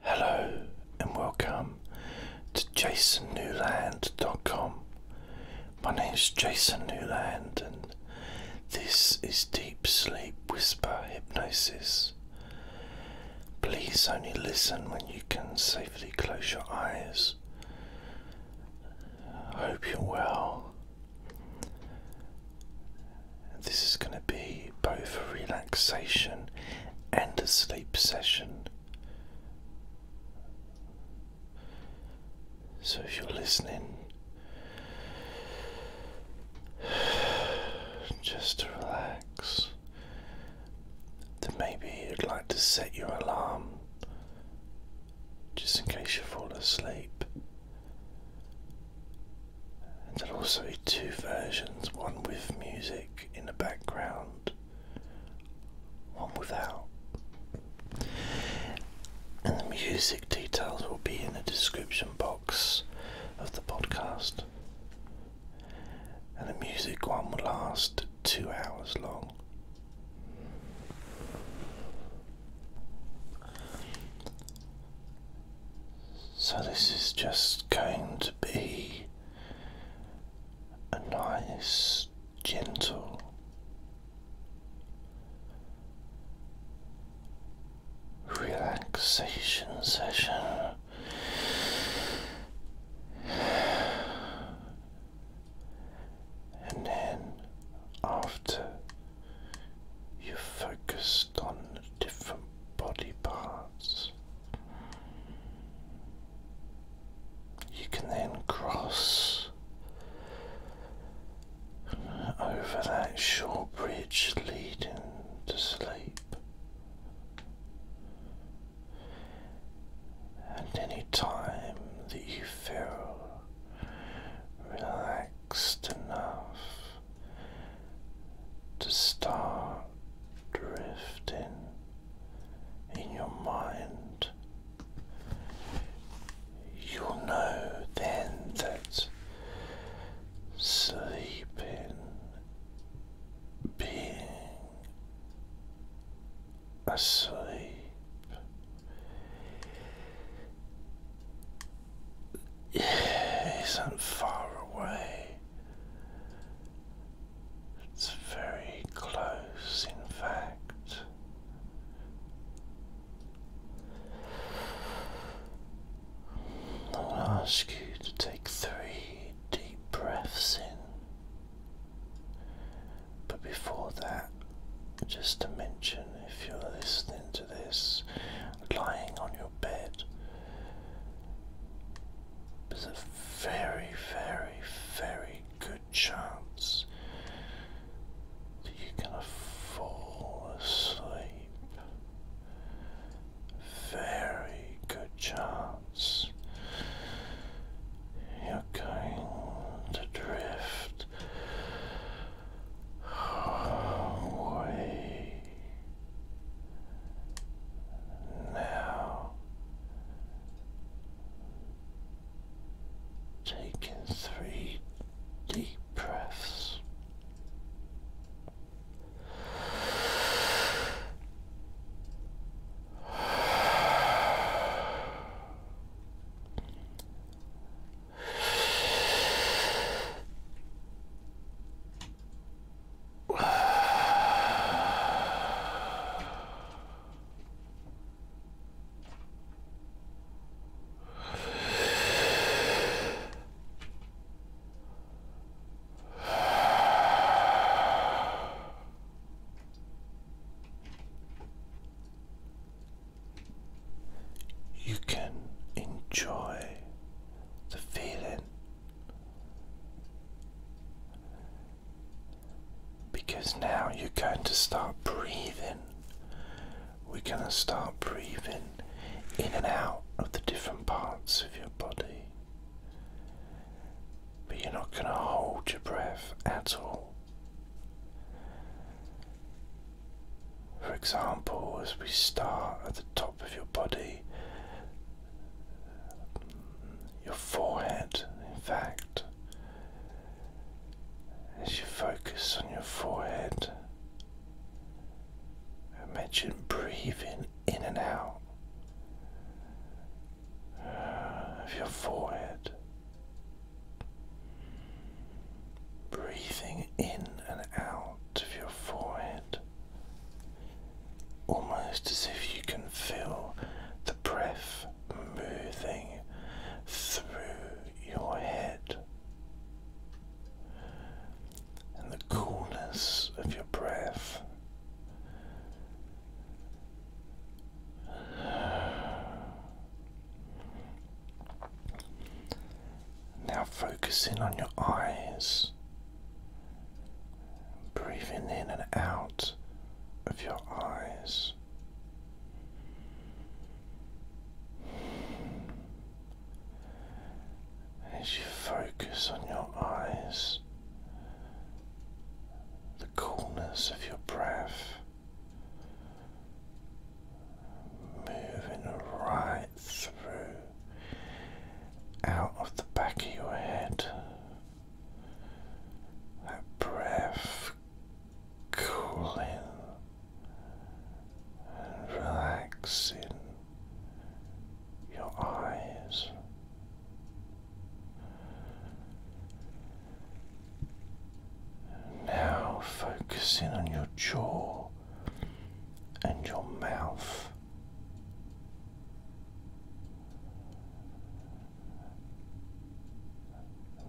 Hello and welcome to jasonnewland.com. My name is Jason Newland and this is Deep Sleep Whisper Hypnosis. Please only listen when you can safely close your eyes. hope you're well. This is going to be both a relaxing relaxation and a sleep session. So, if you're listening, just to relax, then maybe you'd like to set your alarm just in case you fall asleep and will also be two versions one with music in the background, one without. And the music details will be in the description box of the podcast. And the music one will last two hours long. So, this is just going to be a nice, gentle relaxation session. And then, after you focus on different body parts, you can then cross over that short bridge leading to sleep. And any time that you feel relaxed enough to start drifting in your mind. You'll know then that sleeping, being asleep. Isn't far away it's very close, in fact. I'll ask you to take three deep breaths in, but before that, just to mention if you're listening to this lying on your bed there's a very, very, very good chance that you're going to fall asleep. Very good chance you're going to drift away now taking three deep breaths. You can enjoy the feeling because now you're going to start breathing. We're going to start breathing in and out of the different parts of your body. But you're not going to hold your breath at all. For example, as we start at the top of your body, your forehead, in fact, as you focus on your forehead, imagine breathing in and out of your forehead, breathing in and out of your forehead almost as if you can feel the breath moving through your head. And the coolness of your breath. Now, focusing on your eyes, breathing in and out of your eyes. As you focus on your eyes, the coolness of your breath moving right through out of the back of your head. That breath cooling and relaxing your eyes. Now focusing on your jaw and your mouth.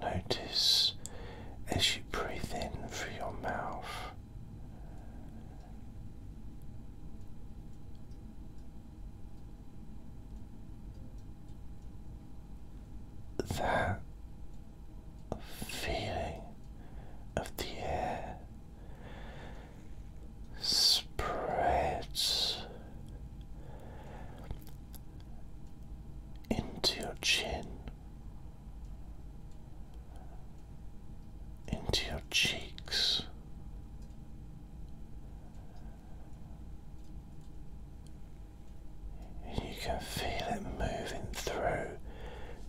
Notice as you breathe in through your mouth. That feeling of the air spreads into your chin, into your cheeks. You can feel it moving through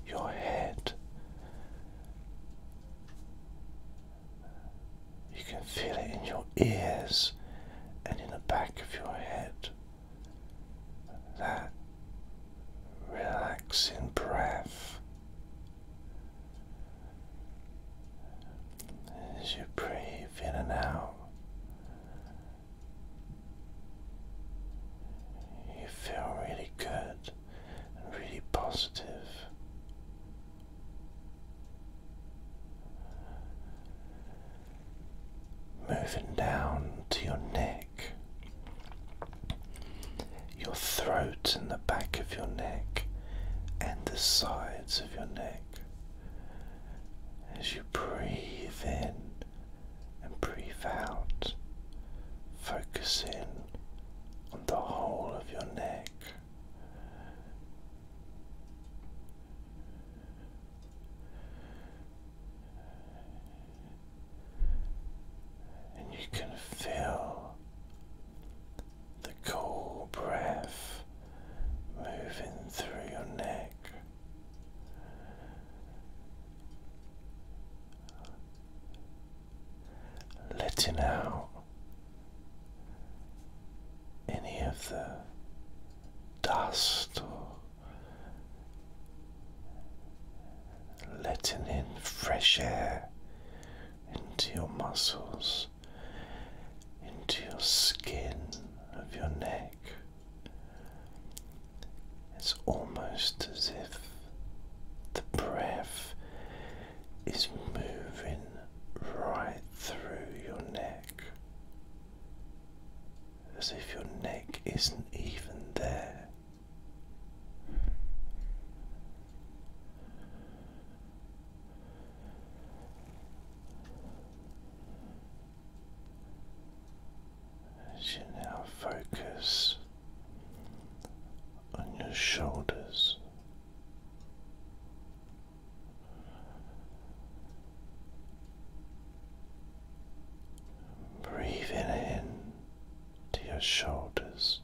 your head you can feel it in your ears and in the back of your head. That relaxing breath. As you breathe in and out, you feel really good really positive. Moving down to your neck, your throat and the back of your neck, and the sides of your neck. As you breathe in and breathe out, focus in on the whole of your neck and you can feel the cool breath moving through your neck letting out any of the dust or letting in fresh air into your muscles, into your skin of your neck. It's almost as if the breath is moving right through your neck as if your neck isn't even there. As you now focus on your shoulders Breathing in to your shoulders,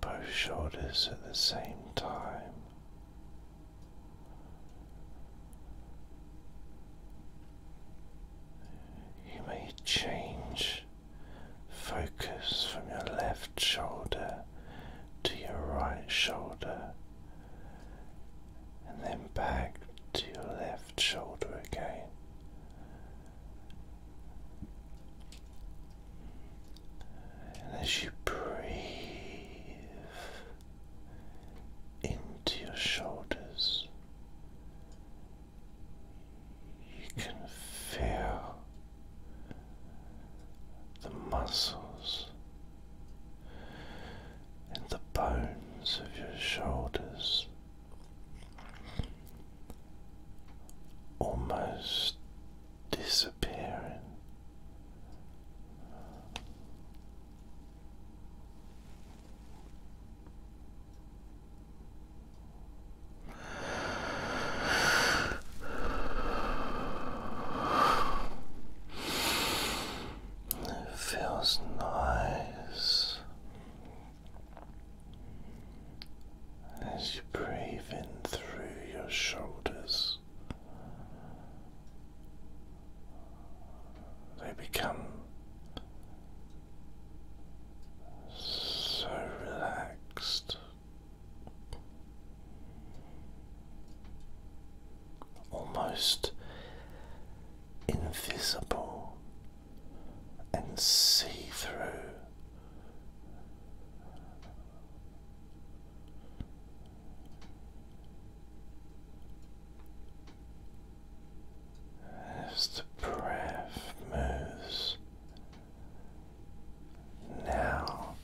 both shoulders at the same time. You may change Focus from your left shoulder to your right shoulder and then back to your left shoulder again. And as you breathe into your shoulders, you can feel the muscles and the bones of your shoulders almost disappearing. It feels nice as you breathe in through your shoulders. They become so relaxed almost invisible and see through. As the breath moves now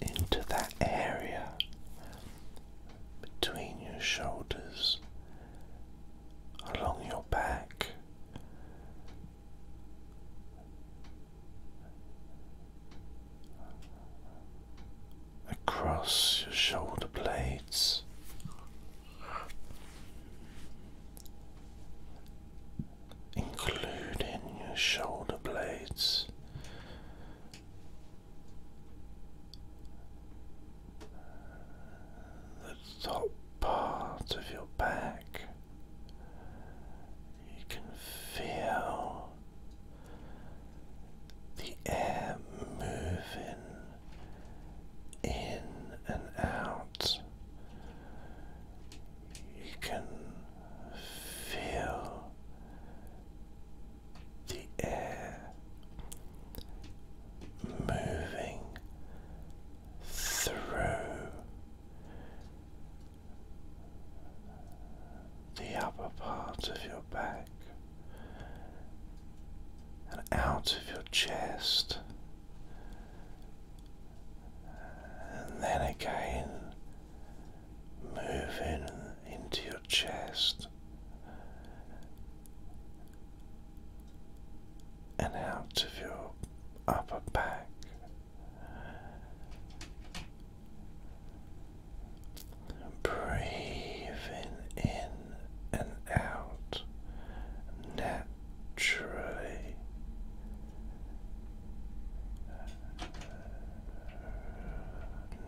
into that area between your shoulders, along your back. Across your shoulder blades, including your shoulder blades. The top part of your back, you can feel the air moving in and out you can feel the air moving through the upper part of your back and out of your chest and then again moving into your chest and out of your upper back. Breathing in and out naturally naturally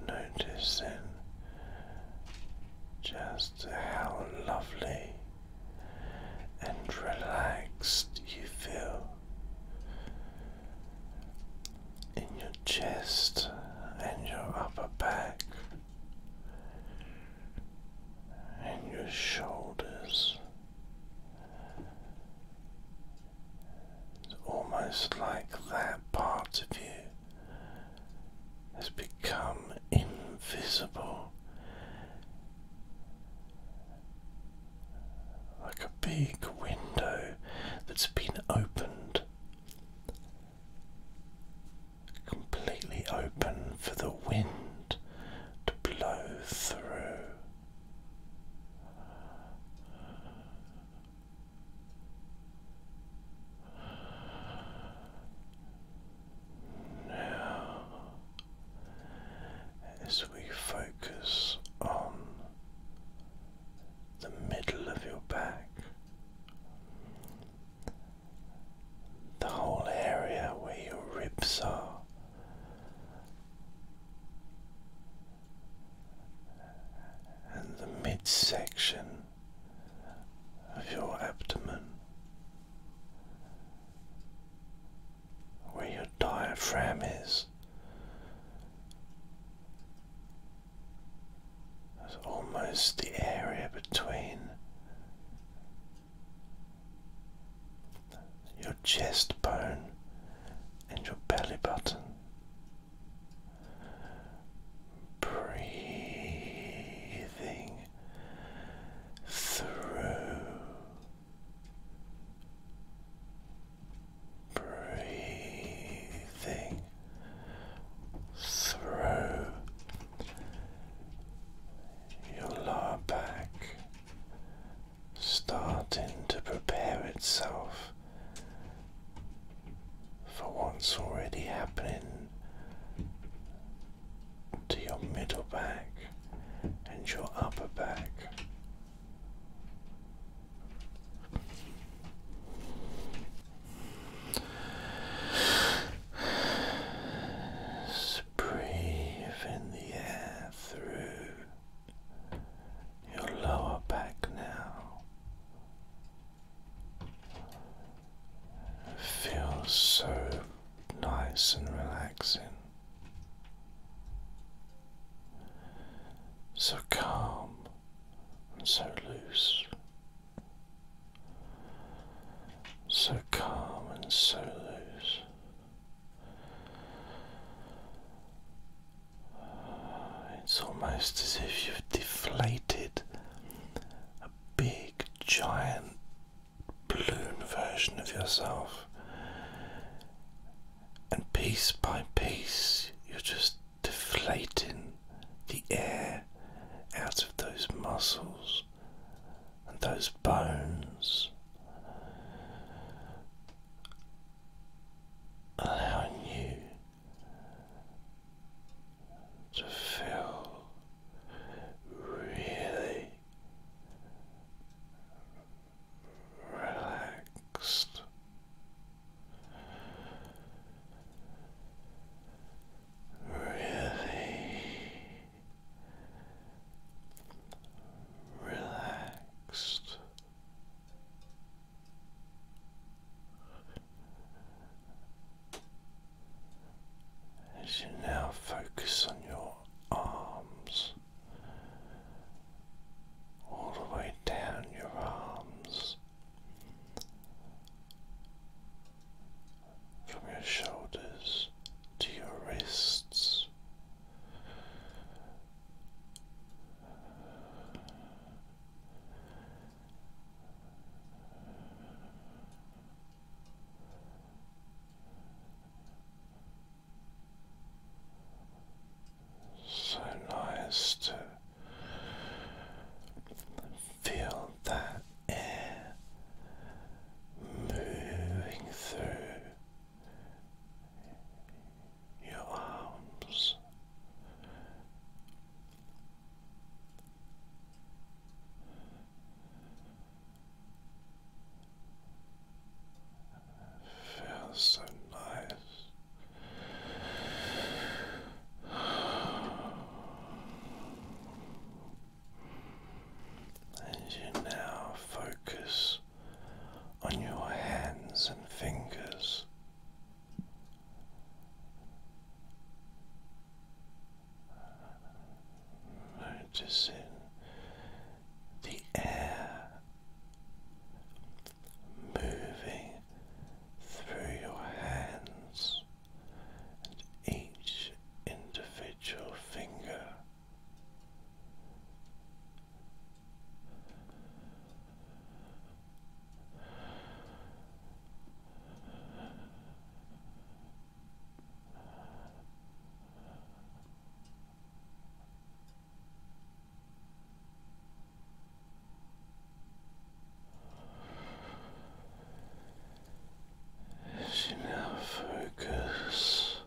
noticing just how lovely and relaxed you feel in your chest and your upper back and your shoulders it's almost like that part of you has become invisible, like a big window that's been opened. Completely open for the wind to blow through. Now, as we focus on the middle of your back, the whole area where your ribs are and the midsection of your abdomen, where your diaphragm is, is almost the area between your chest bone and your belly button. Breathing through, breathing through your lower back starting to prepare itself for what's already happening to your middle back and your upper back breathe in the air through your lower back now. feels so nice and relaxing. So calm and so loose. So calm and so loose. It's almost as if you've deflated a big, giant balloon version of yourself, and piece by piece, you're just deflating the air out of those muscles and those bones, allowing you to feel really relaxed. Really relaxed. As you now focus on your arms, all the way down your arms, from your shoulders to your wrists. So nice to feel that air moving through your arms. Feels so nice. And you now focus on your hands and fingers. Noticing the air moving through your hands and each individual finger. As you now focus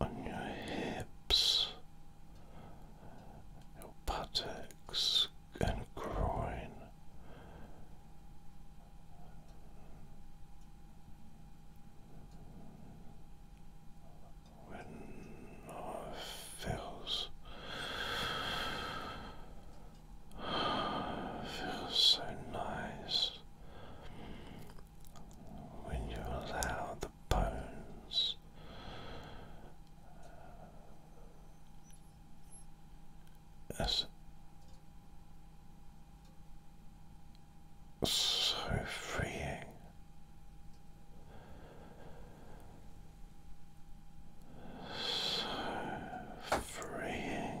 on your hips, your buttocks and groin. When it feels Feels so nice when you allow the bones uh, as so freeing. So freeing.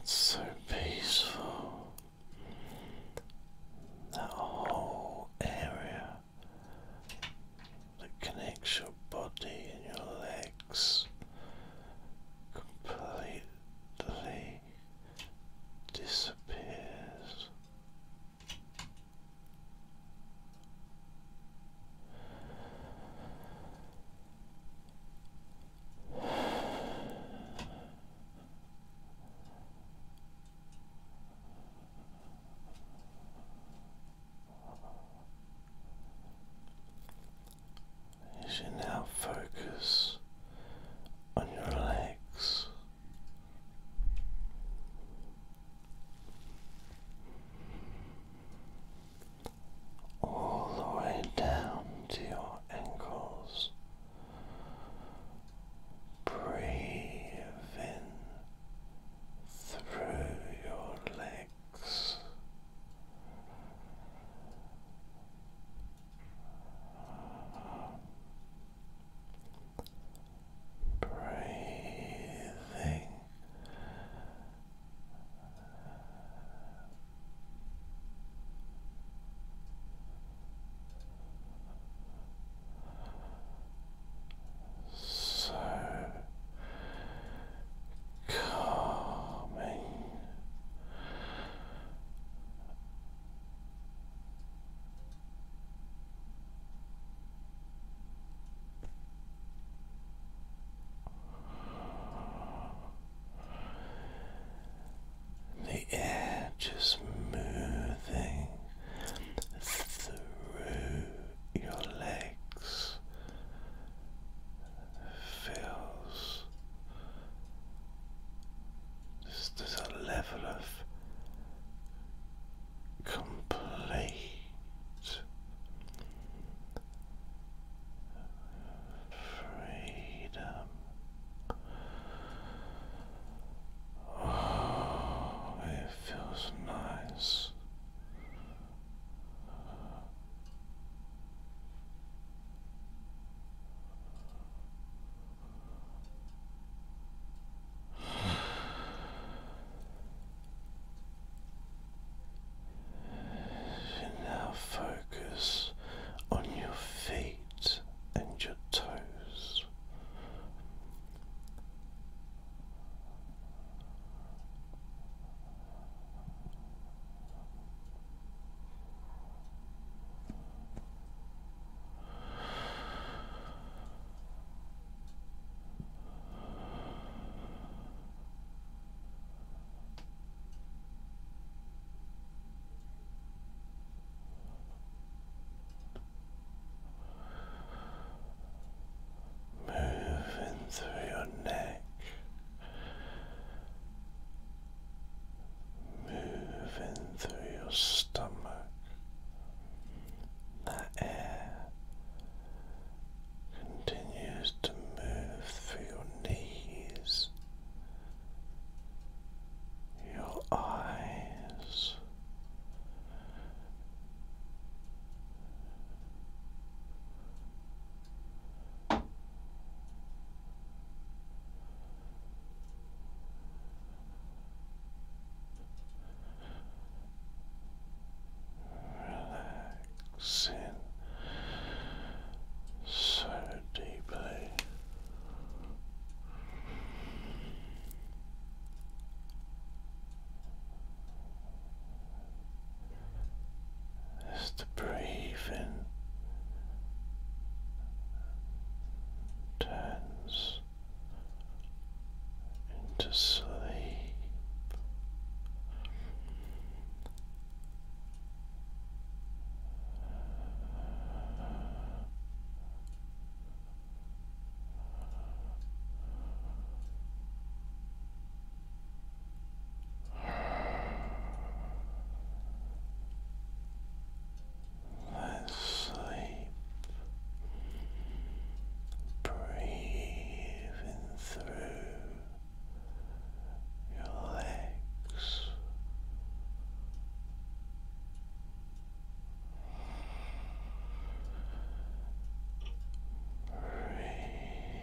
it's so peaceful. That whole area that connects your body and your legs completely disappears. As you now focus on your legs, all the way down to your ankles, breathe in through your legs breathing so calming the air just moving through your legs feels there's, a level of complete freedom. Oh, it feels nice now focus on your feet and your toes. Moving through your neck moving through your stomach. That air continues to move through your knees, your eyes. Relaxing so deeply breathing turns into sleep. That sleep breathing through your legs. Breathe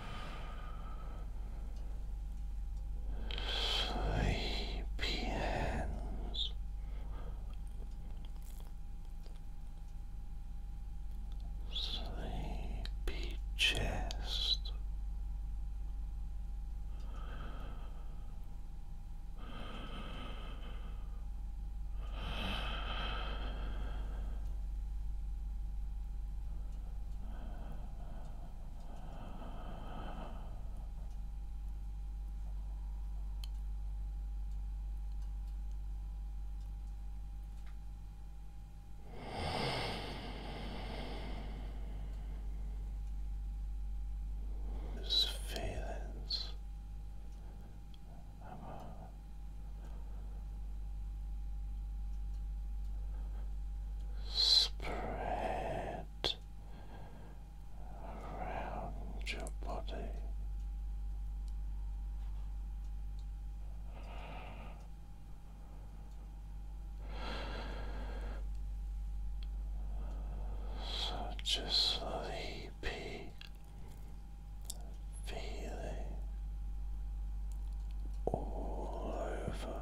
sleepy hands. Sleepy chest, just feelings of spread around your body. Such a sleepy feeling all over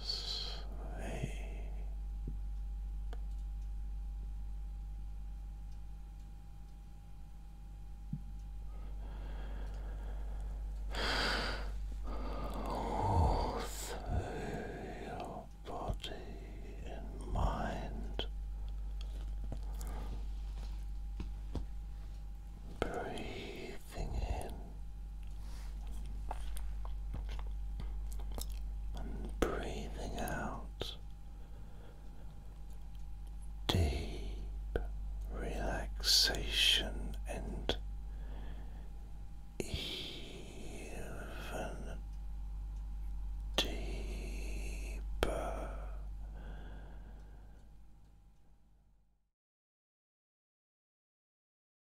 Sleep. All through your body and mind, breathing in and breathing out deep relaxation and even deeper.